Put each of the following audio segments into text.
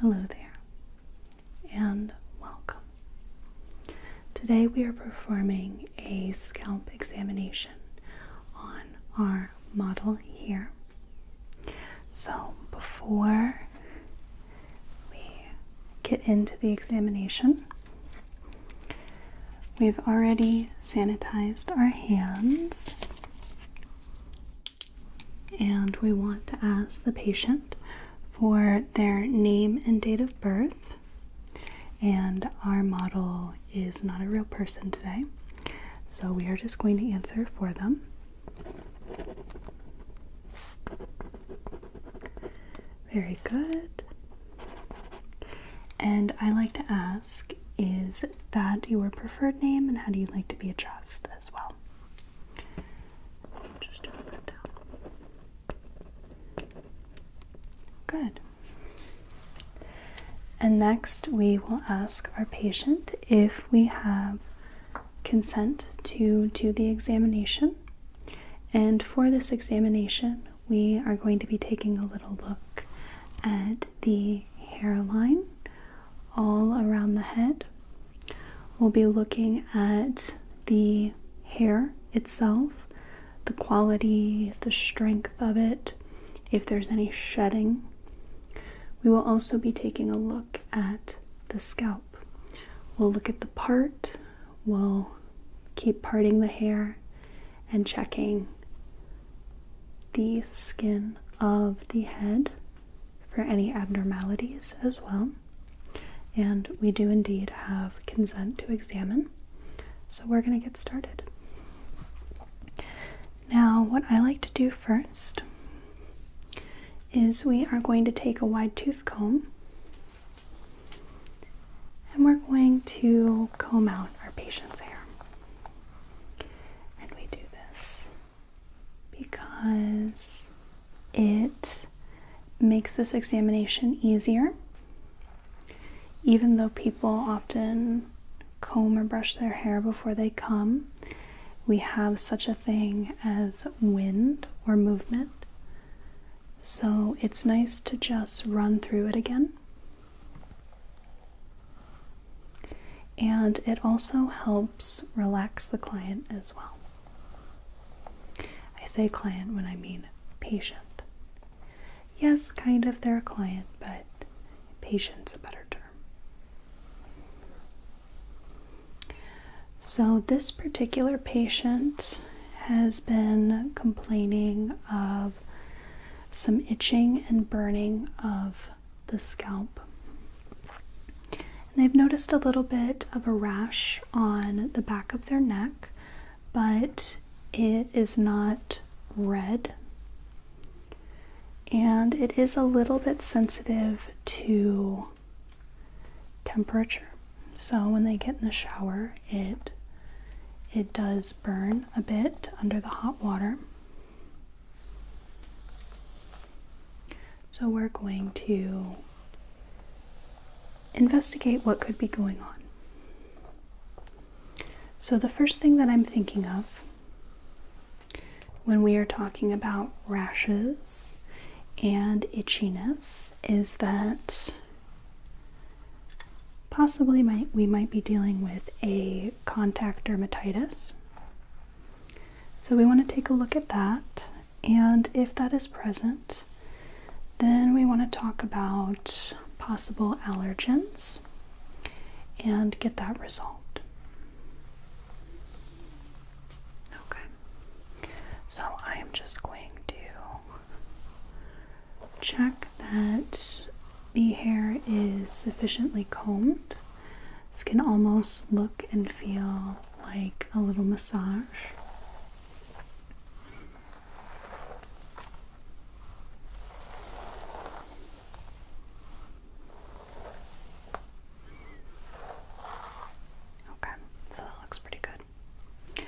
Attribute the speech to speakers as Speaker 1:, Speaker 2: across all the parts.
Speaker 1: Hello there, and welcome. Today we are performing a scalp examination on our model here. So, before we get into the examination, we've already sanitized our hands. And we want to ask the patient for their name and date of birth. And our model is not a real person today, so we are just going to answer for them. Very good. And I like to ask is that your preferred name and how do you like to be addressed as well? Just turn that down. Good. And next, we will ask our patient if we have consent to do the examination. And for this examination, we are going to be taking a little look at the hairline all around the head We'll be looking at the hair itself, the quality, the strength of it, if there's any shedding. We will also be taking a look at the scalp. We'll look at the part, we'll keep parting the hair and checking the skin of the head for any abnormalities as well. And we do indeed have consent to examine. So we're going to get started. Now, what I like to do first is we are going to take a wide tooth comb and we're going to comb out our patient's hair. And we do this because it makes this examination easier. Even though people often comb or brush their hair before they come, we have such a thing as wind or movement. So it's nice to just run through it again and it also helps relax the client as well. I say client when I mean patient. Yes, kind of, they're a client, but patient's a better term. So, this particular patient has been complaining of some itching and burning of the scalp. And they've noticed a little bit of a rash on the back of their neck, but it is not red. And it is a little bit sensitive to temperature. So when they get in the shower, it it does burn a bit under the hot water. So we're going to investigate what could be going on. So, the first thing that I'm thinking of when we are talking about rashes and itchiness is that possibly might, we might be dealing with a contact dermatitis so we want to take a look at that, and if that is present, then we want to talk about possible allergens and get that resolved. Okay, so I am just going to check that the hair is sufficiently combed. This can almost look and feel like a little massage. Okay, so that looks pretty good.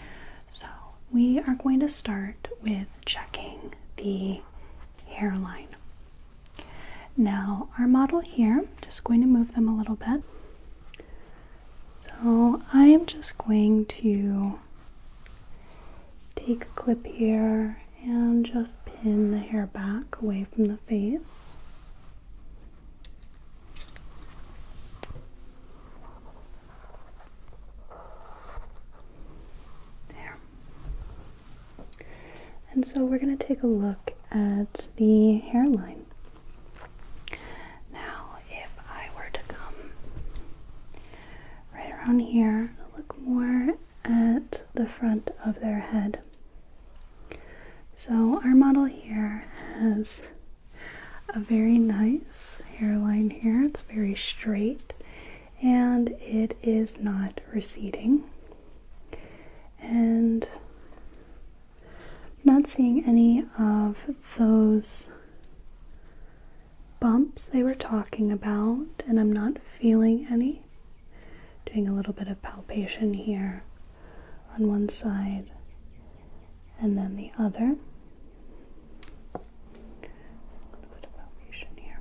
Speaker 1: So, we are going to start with checking the hairline. Now, our model here, just going to move them a little bit. So, I am just going to take a clip here and just pin the hair back away from the face. There. And so we're going to take a look at the hairline. Now, if I were to come right around here, look more at the front of their head. So, our model here has a very nice hairline here. It's very straight and it is not receding. And not seeing any of those bumps they were talking about, and I'm not feeling any. Doing a little bit of palpation here on one side and then the other. A little bit of palpation here,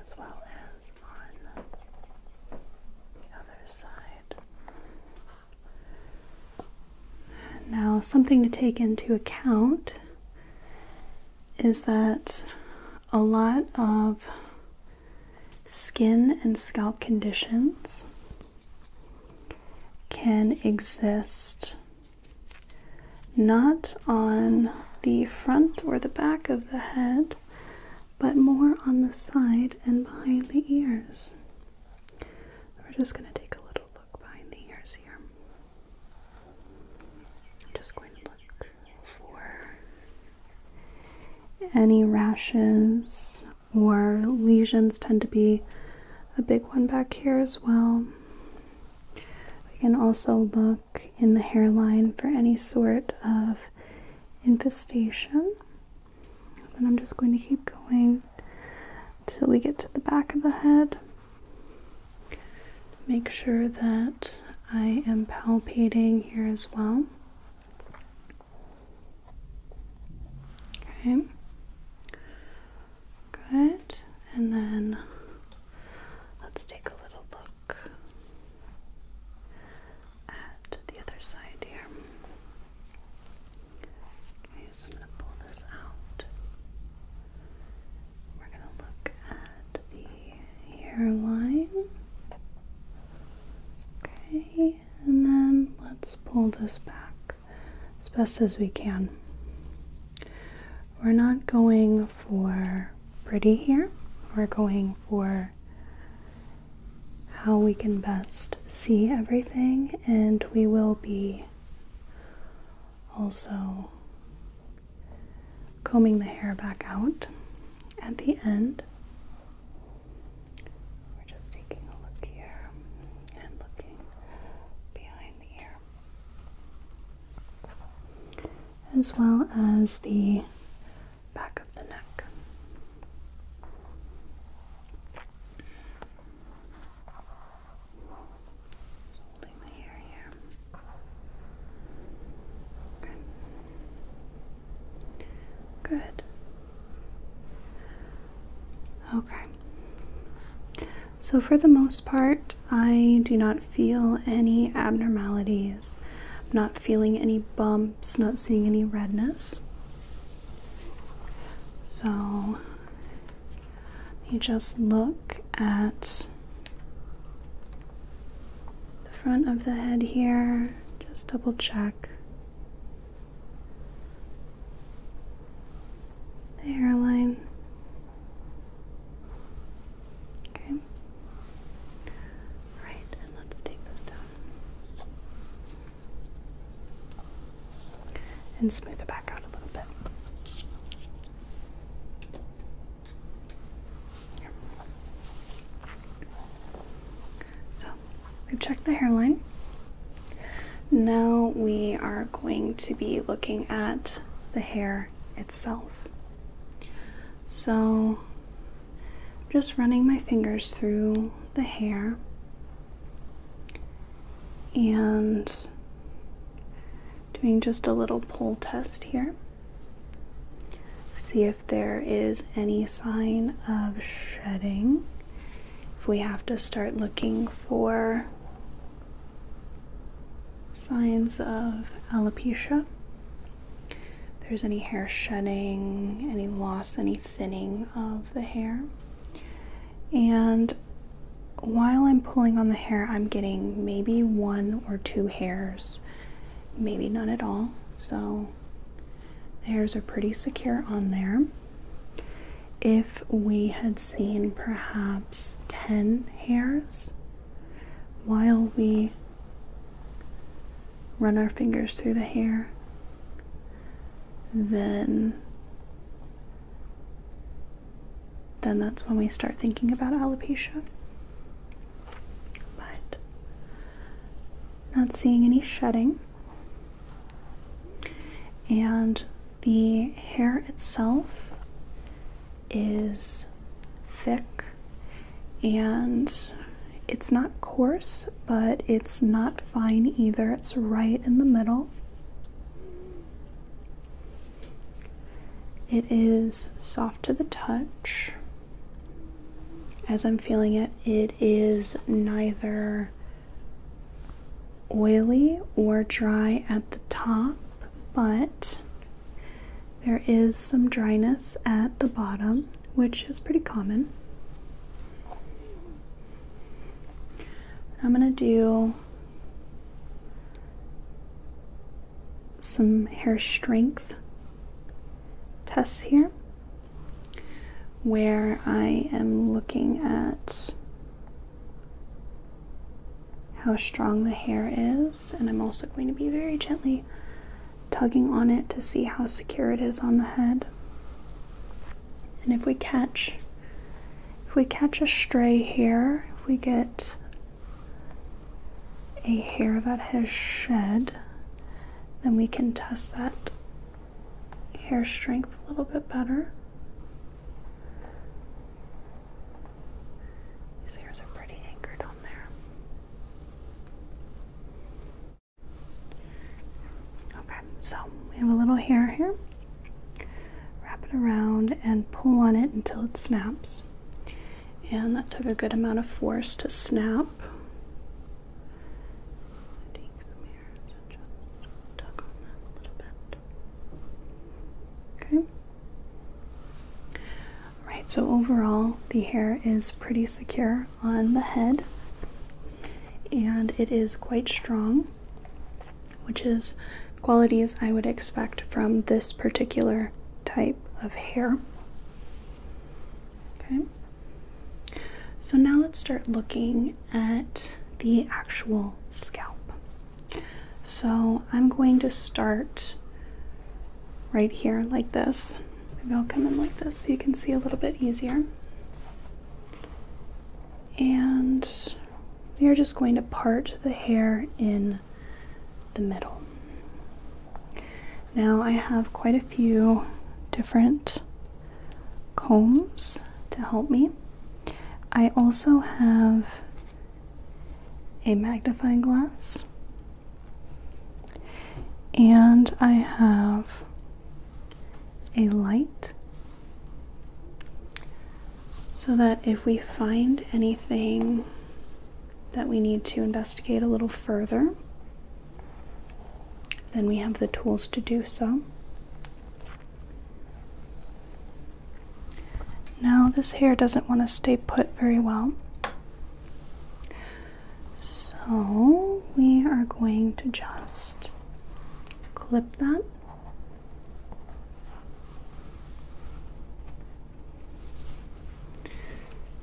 Speaker 1: as well as on the other side. Now, something to take into account is that a lot of skin and scalp conditions can exist not on the front or the back of the head, but more on the side and behind the ears. We're just going to take a little look behind the ears here. I'm just going to look for any rashes or lesions, tend to be a big one back here as well. We can also look in the hairline for any sort of infestation. Then I'm just going to keep going until we get to the back of the head. Make sure that I am palpating here as well. Okay. Good. And then let's take a little look at the other side here. Okay, so I'm going to pull this out. We're going to look at the hairline. Okay, and then let's pull this back as best as we can. We're not going for pretty here, we're going for how we can best see everything, and we will be also combing the hair back out at the end. We're just taking a look here and looking behind the ear, as well as the back of the neck. holding the hair here. Okay. Good. Okay. So, for the most part, I do not feel any abnormalities I'm not feeling any bumps, not seeing any redness. So you just look at the front of the head here, just double check. The hairline. Okay. Right, and let's take this down and smooth it back out a little bit. So we've checked the hairline. Now we are going to be looking at the hair itself. So just running my fingers through the hair and doing just a little pull test here. See if there is any sign of shedding. If we have to start looking for signs of alopecia there's any hair shedding, any loss, any thinning of the hair. And while I'm pulling on the hair, I'm getting maybe one or two hairs, maybe none at all. So the hairs are pretty secure on there. If we had seen perhaps 10 hairs while we Run our fingers through the hair. Then then that's when we start thinking about alopecia. But not seeing any shedding. And the hair itself is thick and it's not coarse, but it's not fine either. It's right in the middle. It is soft to the touch. As I'm feeling it, it is neither oily or dry at the top, but there is some dryness at the bottom, which is pretty common. I'm going to do some hair strength tests here where I am looking at how strong the hair is and I'm also going to be very gently tugging on it to see how secure it is on the head. And if we catch if we catch a stray hair, if we get a hair that has shed, then we can test that hair strength a little bit better. These hairs are pretty anchored on there. Okay, so we have a little hair here. Wrap it around and pull on it until it snaps. And that took a good amount of force to snap. Okay. Right, so overall, the hair is pretty secure on the head and it is quite strong, which is qualities I would expect from this particular type of hair. Okay, so now let's start looking at the actual scalp. So I'm going to start right here, like this. Maybe I'll come in like this so you can see a little bit easier. And we are just going to part the hair in the middle. Now I have quite a few different combs to help me. I also have a magnifying glass and I have a light so that if we find anything that we need to investigate a little further, then we have the tools to do so. Now, this hair doesn't want to stay put very well. So we are going to just clip that.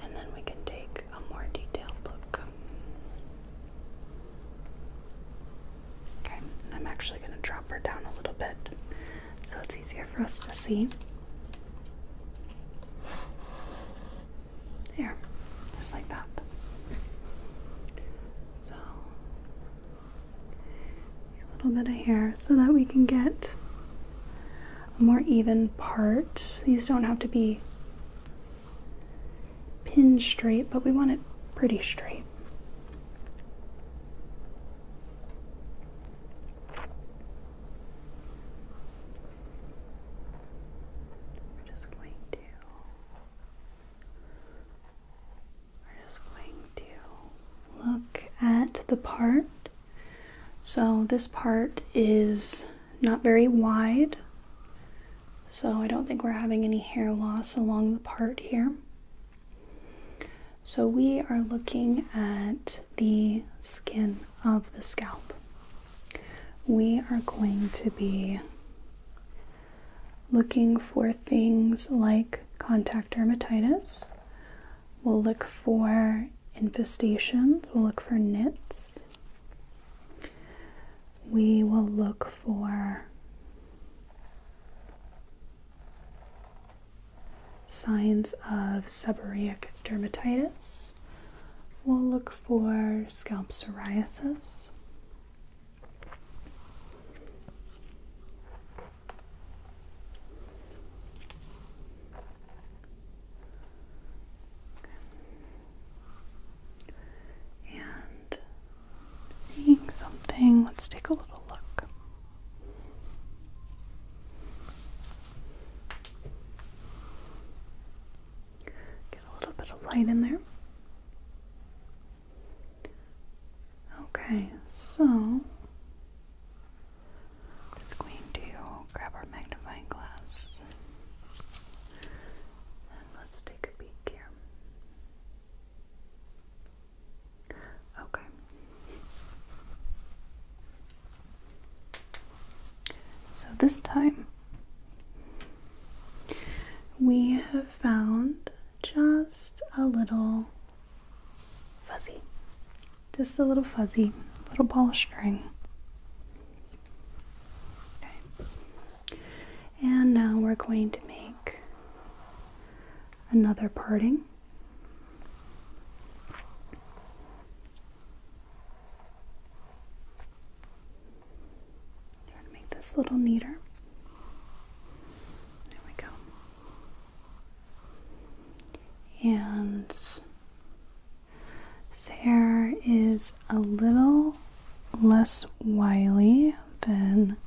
Speaker 1: And then we can take a more detailed look. Okay, I'm actually going to drop her down a little bit so it's easier for us to see. There, just like that. So, a little bit of hair so that we can get a more even part. These don't have to be pinned straight, but we want it pretty straight. We're just going to. We're just going to look at the part. So this part is not very wide. So I don't think we're having any hair loss along the part here. So we are looking at the skin of the scalp, we are going to be looking for things like contact dermatitis. We'll look for infestations, we'll look for nits. We will look for signs of seborrheic dermatitis we'll look for scalp psoriasis. And seeing something, let's take a little look. Get a little bit of light in there. Okay, so just going to grab our magnifying glass and let's take a peek here. Okay. So this time we have found just a little fuzzy, just a little fuzzy, little ball of string. And now we're going to make another parting. Try to make this little neater. There we go. And this hair is a little less wily than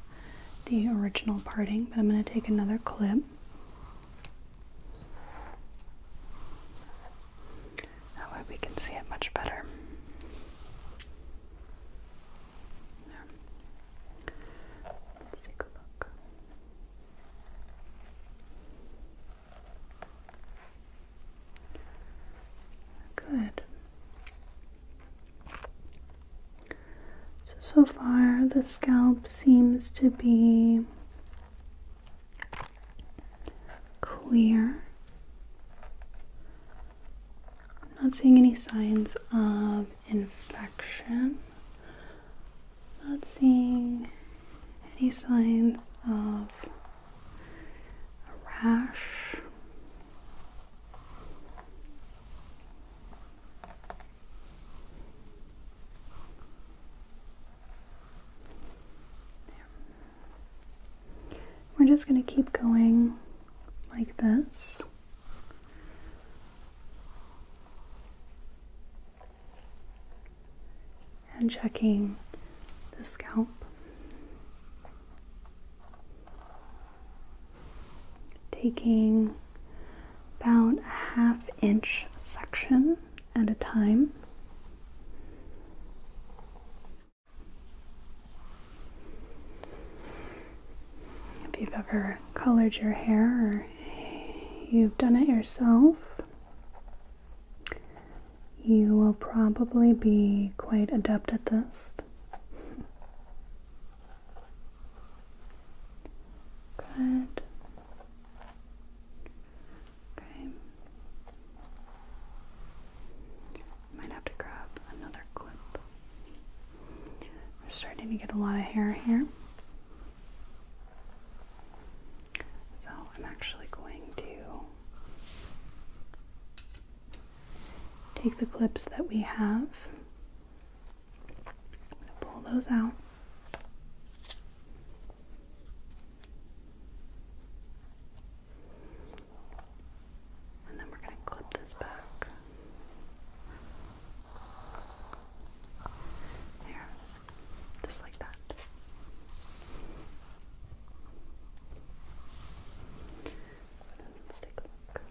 Speaker 1: the original parting, but I'm going to take another clip. That way we can see it much better. There. Let's take a look. Good. So, so far the scalp seems to be clear. I'm not seeing any signs of infection. not seeing any signs of a rash. We're just going to keep going like this. And checking the scalp. Taking about a half inch section at a time. If you've ever colored your hair or you've done it yourself, you will probably be quite adept at this. Good. Okay. Might have to grab another clip. We're starting to get a lot of hair here. So I'm actually going to take the clips that we have. pull those out. And then we're going to clip this back. There. Just like that. let's take a look.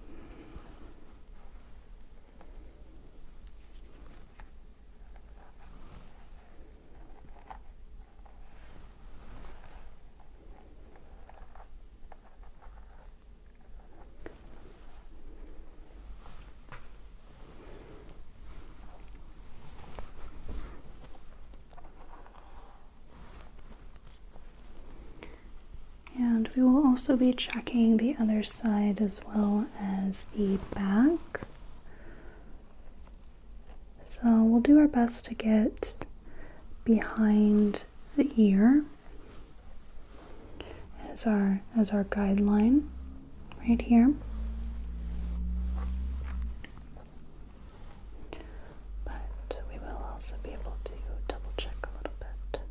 Speaker 1: And we will also be checking the other side as well as the back. So we'll do our best to get behind the ear as our as our guideline right here. But we will also be able to double check a little bit.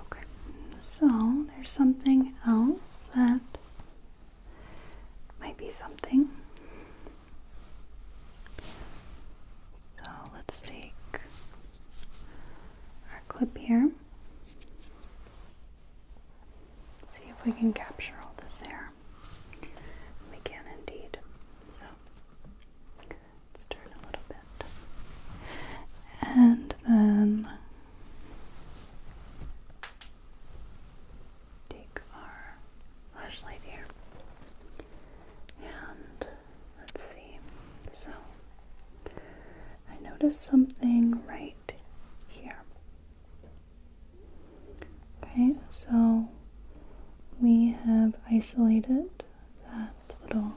Speaker 1: Okay, so there's something else that might be something. So let's take our clip here. See if we can capture all this hair. We can indeed. So let's turn a little bit. And then take our flashlight here. And let's see. So I noticed something right here. Okay, so we have isolated that little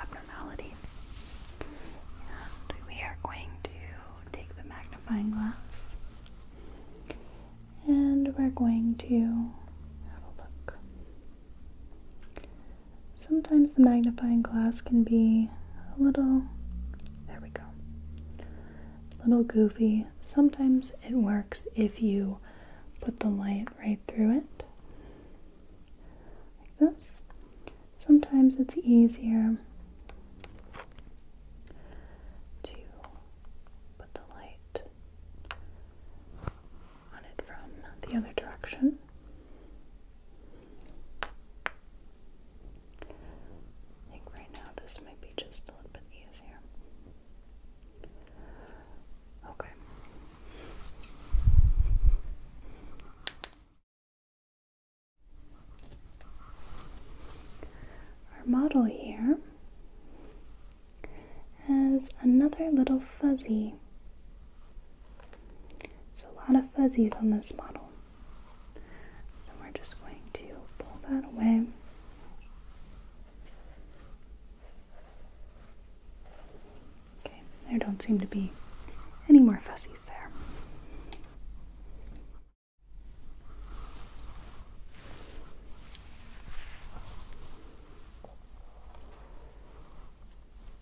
Speaker 1: abnormality. And we are going to take the magnifying glass and we're going to have a look. Sometimes the magnifying glass can be a little, there we go, little goofy. Sometimes it works if you put the light right through it, like this. Sometimes it's easier to put the light on it from the other direction. I think right now this might be just a little bit easier. Okay. Our model here has another little fuzzy. So, a lot of fuzzies on this model. So, we're just going to pull that away. Okay, there don't seem to be any more fuzzies there.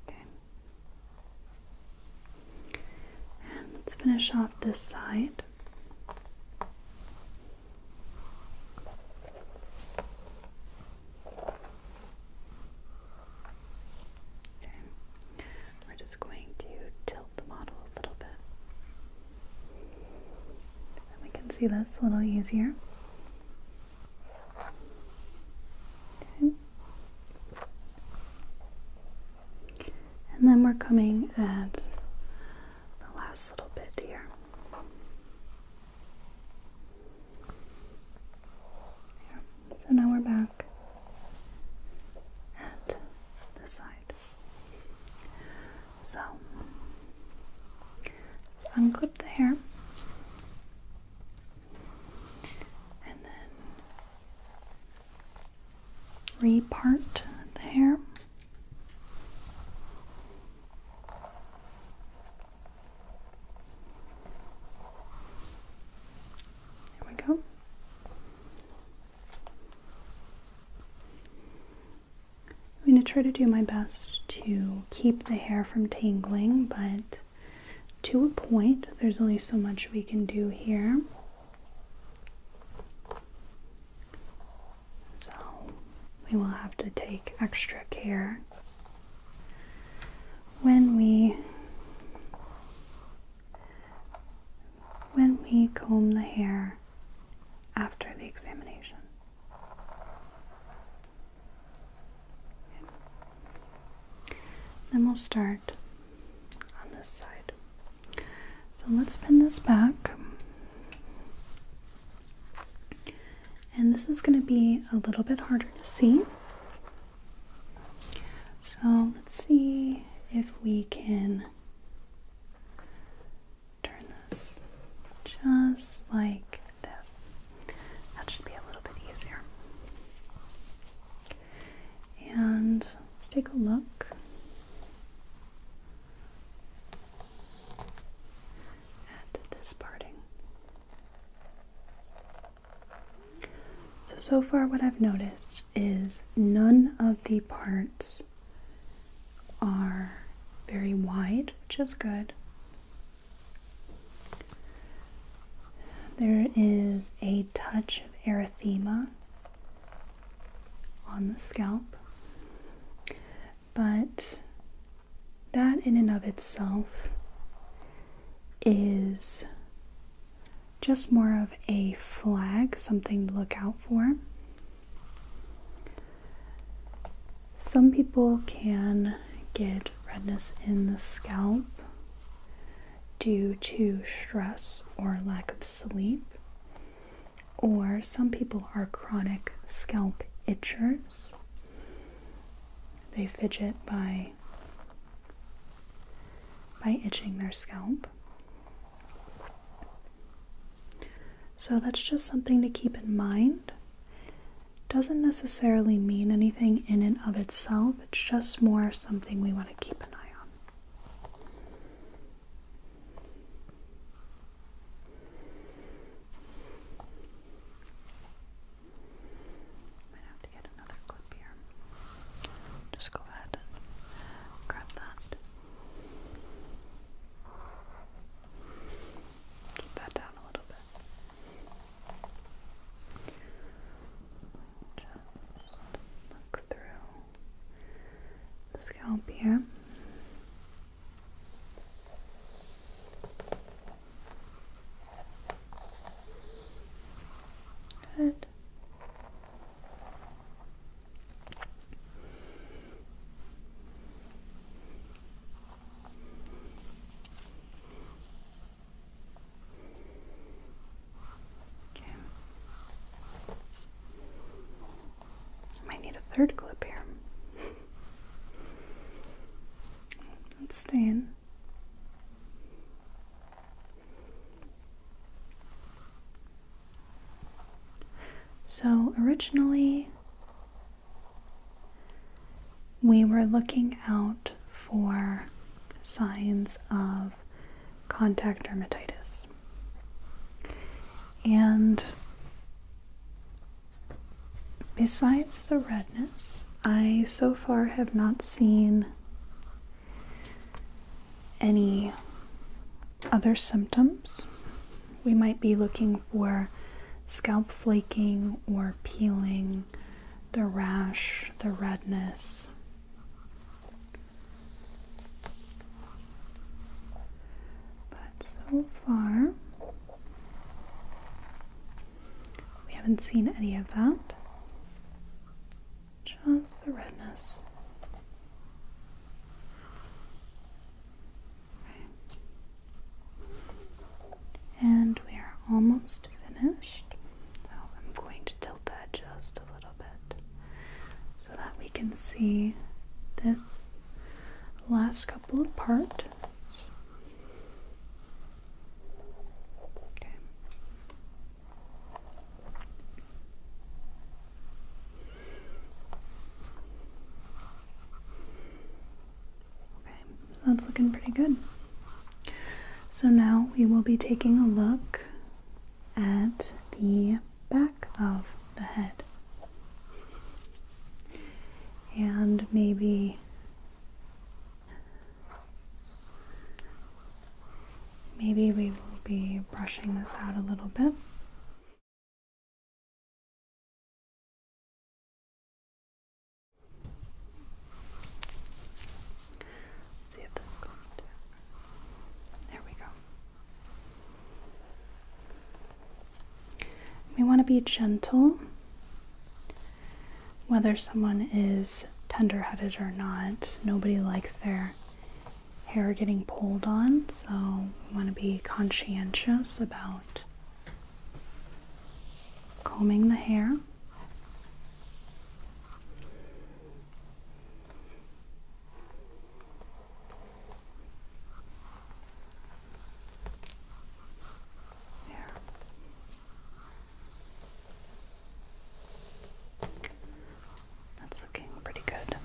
Speaker 1: Okay. And let's finish off this side. We're just going to tilt the model a little bit. And we can see this a little easier. Okay. And then we're coming at the last little bit here. So now we're back at the side. So let's unclip the hair and then repart the hair. There we go. I'm going to try to do my best to keep the hair from tangling, but to a point, there's only so much we can do here. So we will have to take extra care when we when we comb the hair after the examination. Then we'll start on this side. So let's pin this back. And this is going to be a little bit harder to see. So let's see if we can Turn this just like this. That should be a little bit easier. And let's take a look at this parting. So, so far, what I've noticed is none of the parts are very wide, which is good. There is a touch of erythema on the scalp, but that in and of itself is just more of a flag, something to look out for. Some people can get redness in the scalp due to stress or lack of sleep, or some people are chronic scalp itchers. They fidget by by itching their scalp. So that's just something to keep in mind. Doesn't necessarily mean anything in and of itself, it's just more something we want to keep an eye on. I have to get another clip here. Just go ahead and grab that. Keep that down a little bit. Just look through the scalp here. Good. I might need a third clip here. Let's stay in. So, originally, we were looking out for signs of contact dermatitis. And besides the redness, I so far have not seen any other symptoms. We might be looking for scalp flaking or peeling, the rash, the redness. But so far, we haven't seen any of that, just the redness. And we are almost finished. So I'm going to tilt that just a little bit so that we can see this last couple of parts. Okay. Okay, that's looking pretty good. So now we will be taking a look at the back of the head. And maybe maybe we will be brushing this out a little bit see if this is going There we go. We want to be gentle, whether someone is tender headed or not. Nobody likes their hair getting pulled on, so we want to be conscientious about combing the hair. There. That's looking pretty good.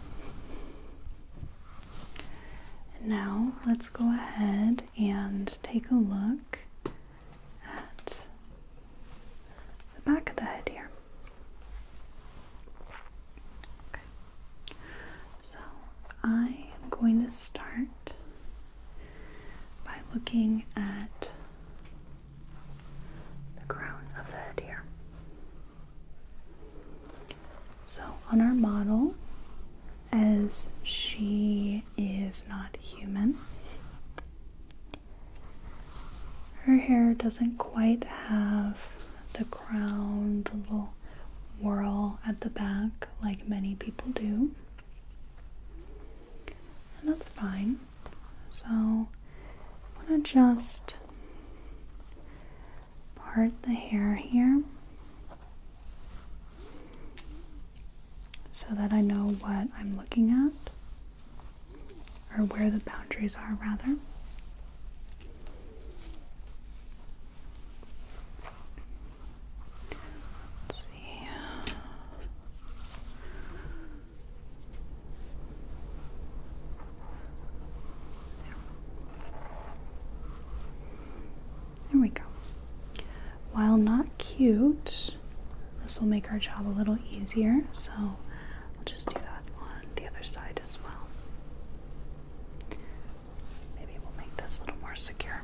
Speaker 1: now let's go ahead and take a look at the back of the head here. So I am going to start by looking at the crown of the head here. So, on our model, as she is not human, her hair doesn't quite have the crown, the little whirl at the back like many people do. And that's fine. So, I want to just part the hair here so that I know what I'm looking at or where the boundaries are rather. Let's see. There we go. While not cute, this will make our job a little easier, so I'll just do that on the other side as well. Maybe we'll make this a little more secure.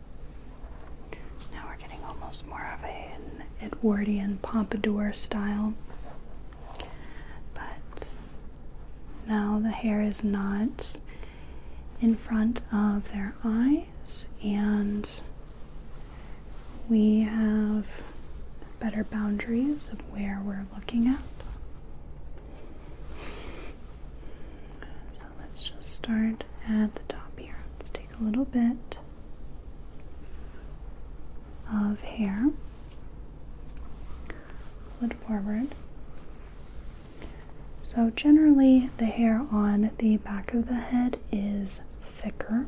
Speaker 1: Now we're getting almost more of an Edwardian pompadour style. But now the hair is not in front of their eyes, and we have better boundaries of where we're looking at let's just start at the top here. Let's take a little bit of hair, pull it forward. So, generally, the hair on the back of the head is thicker.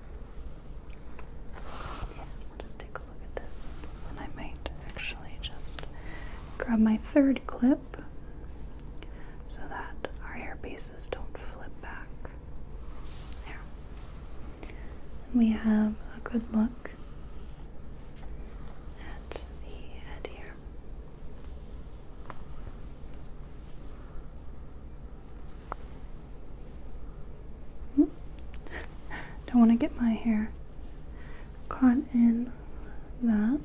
Speaker 1: just take a look at this. And I might actually just grab my third clip so that our hair bases don't flip back. There. we have a good look at the head here. Hmm? Don't want to get my hair caught in that.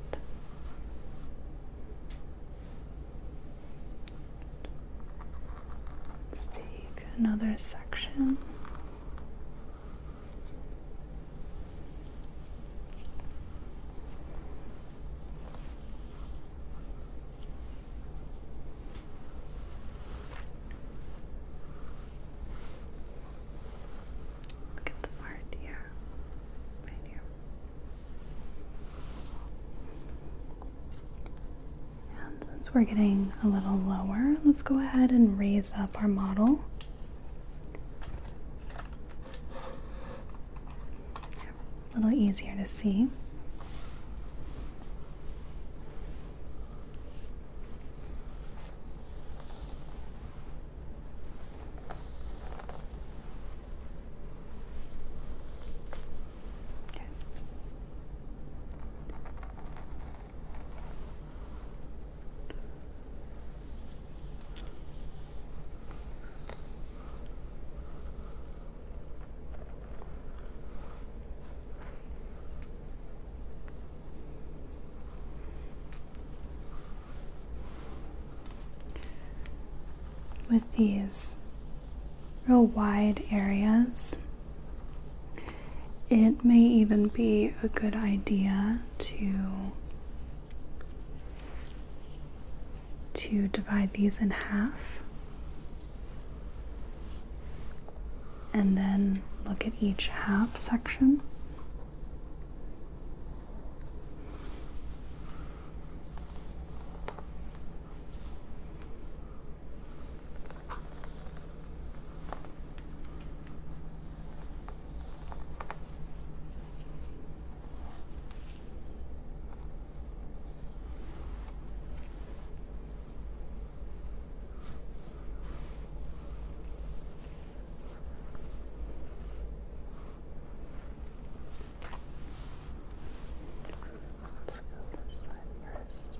Speaker 1: Let's take another section. Look at the part here, right here. And since we're getting a little lower, let's go ahead and raise up our model a little easier to see with these real wide areas, it may even be a good idea to to divide these in half and then look at each half section. Let's go this side first.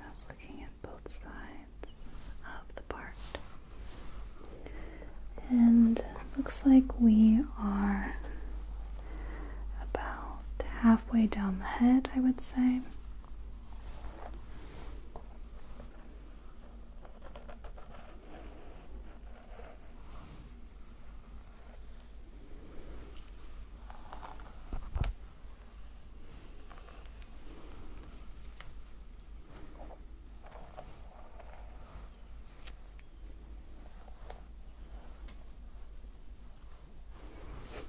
Speaker 1: I was looking at both sides of the part. And looks like we are about halfway down the head, I would say let's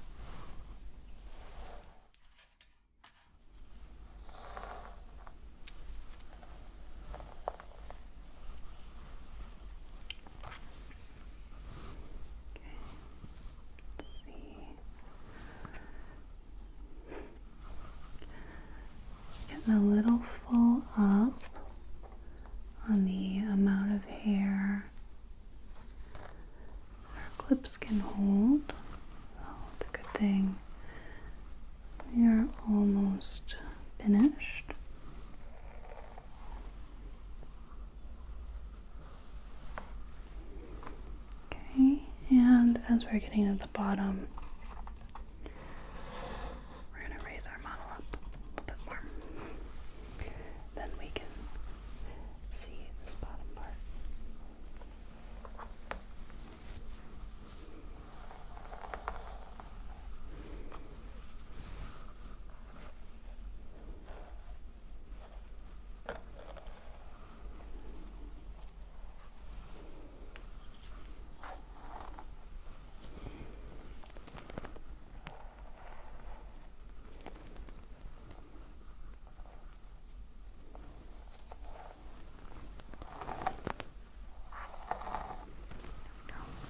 Speaker 1: see. Getting a little full up on the amount of hair our clips can hold. it's oh, a good thing. We are almost finished. Okay, and as we're getting to the bottom, we're going to raise our model up a little bit more then we can see this bottom part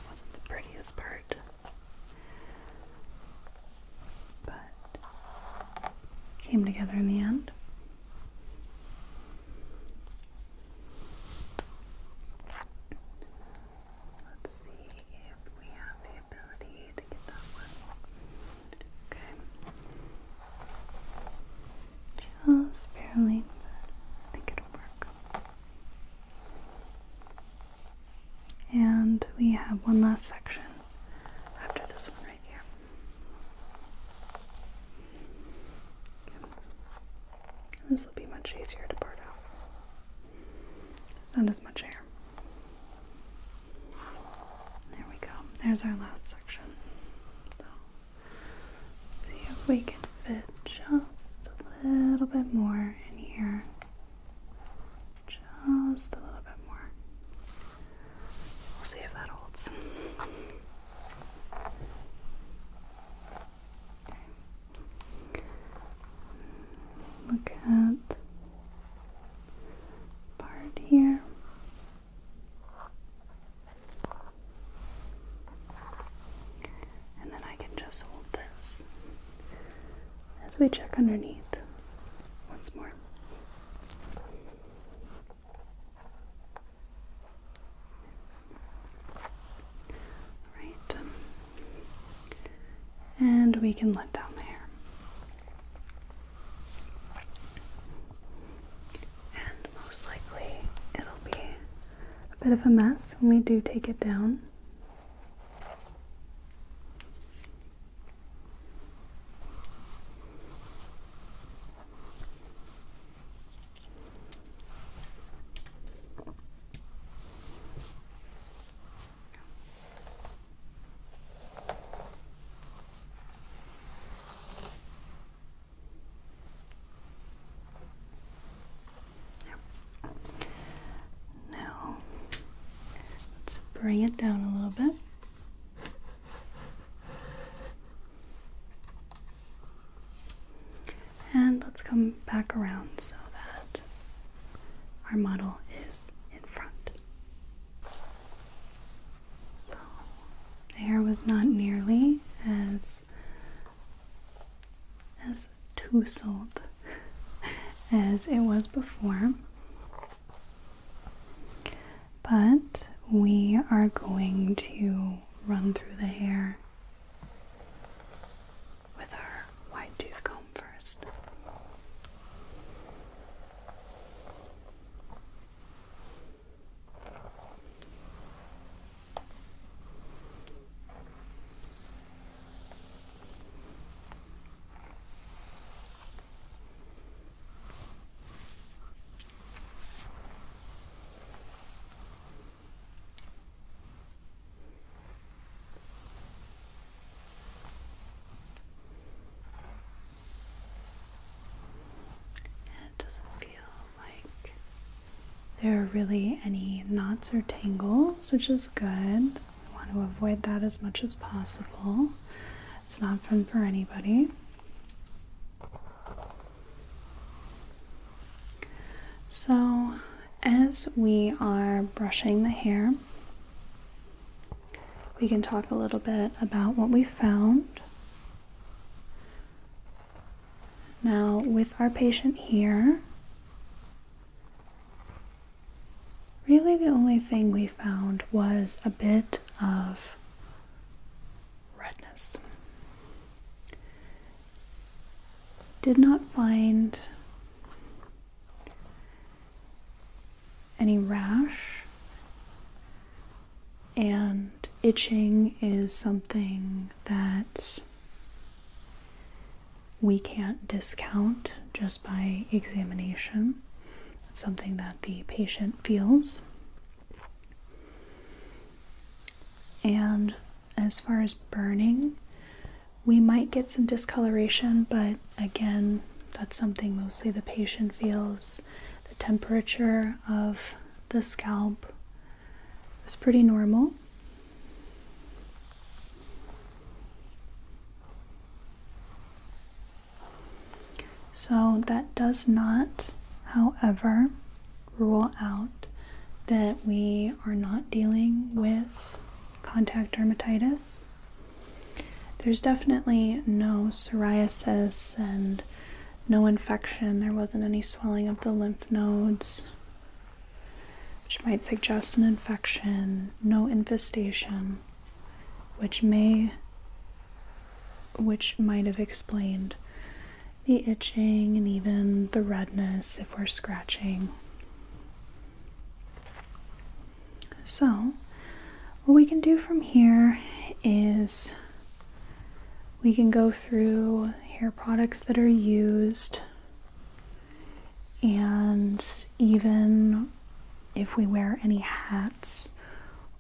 Speaker 1: wasn't the prettiest part, but came together in the end. Let's see if we have the ability to get that one. Okay. Just barely, I think it'll work. And we have one last section after this one right here. This will be much easier to part out. It's not as much hair. There we go. There's our last section. see if we can fit just a little bit more in here. Just a little bit more. We'll see if that holds. Look at part here. And then I can just hold this as we check underneath once more. All right and we can let down the hair, And most likely it'll be a bit of a mess when we do take it down. Now let's bring it down a little bit. And let's come back around so that our model is in front. the hair was not nearly as as tousled as it was before. But we are going to run through the hair with our white tooth comb first it doesn't feel like there are really any knots or tangles, which is good. We want to avoid that as much as possible. It's not fun for anybody. So, as we are brushing the hair, we can talk a little bit about what we found. Now, with our patient here, really the only thing we found was a bit of redness. Did not find any rash. And itching is something that we can't discount just by examination. It's something that the patient feels. And as far as burning, we might get some discoloration, but again, that's something mostly the patient feels. The temperature of the scalp is pretty normal. So, that does not, however, rule out that we are not dealing with contact dermatitis. There's definitely no psoriasis and no infection. There wasn't any swelling of the lymph nodes, which might suggest an infection. No infestation, which may which might have explained the itching and even the redness if we're scratching. So, what we can do from here is we can go through hair products that are used and even if we wear any hats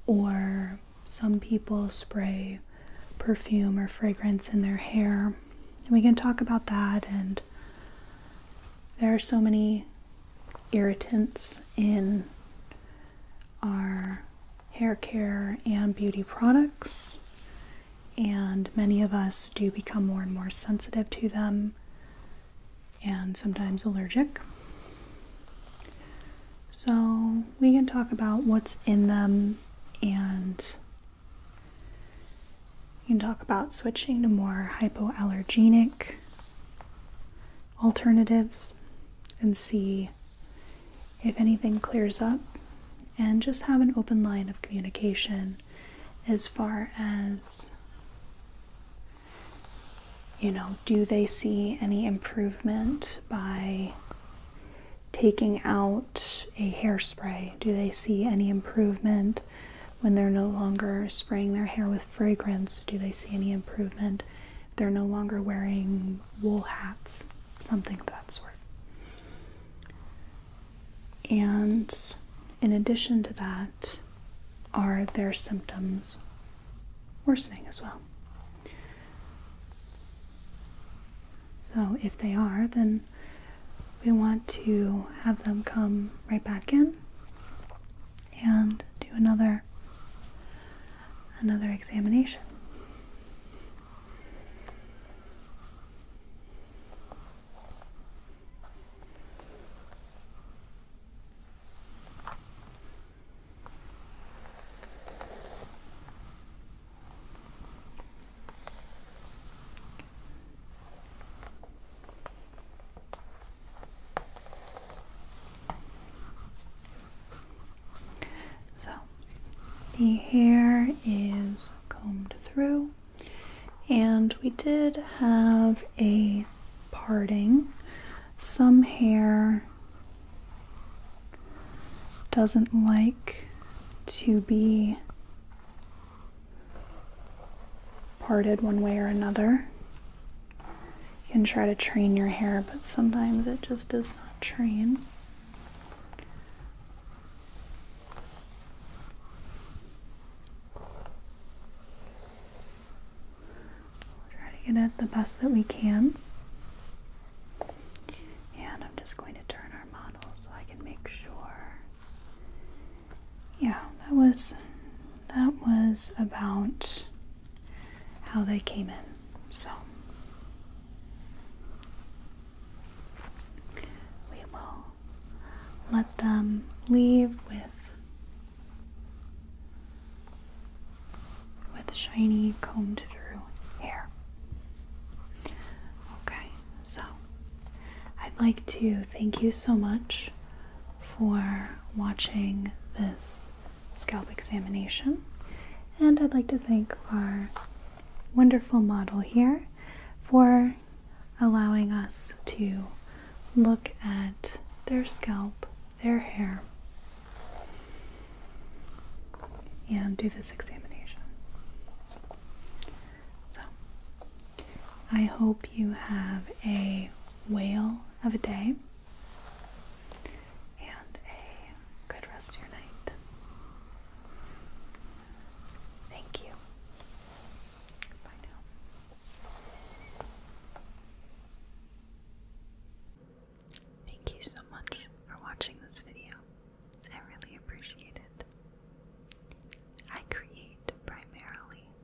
Speaker 1: or some people spray perfume or fragrance in their hair. We can talk about that and there are so many irritants in our hair care and beauty products, and many of us do become more and more sensitive to them and sometimes allergic. So, we can talk about what's in them and you can talk about switching to more hypoallergenic alternatives and see if anything clears up. And just have an open line of communication as far as, you know, do they see any improvement by taking out a hairspray? Do they see any improvement when they're no longer spraying their hair with fragrance, do they see any improvement? They're no longer wearing wool hats, something of that sort. And in addition to that, are their symptoms worsening as well? So, if they are, then we want to have them come right back in and do another another examination. So the hair is combed through, and we did have a parting. Some hair doesn't like to be parted one way or another. You can try to train your hair, but sometimes it just does not train. We'll try to get it the best that we can. And I'm just going to turn our model so I can make sure yeah, that was that was about how they came in. So we will let them leave with with shiny combed through hair. Okay, so I'd like to thank you so much for watching this scalp examination. And I'd like to thank our wonderful model here for allowing us to look at their scalp, their hair, and do this examination. So, I hope you have a whale of a day and a good rest your night. Thank you. Bye now. Thank you so much for watching this video. I really appreciate it. I create primarily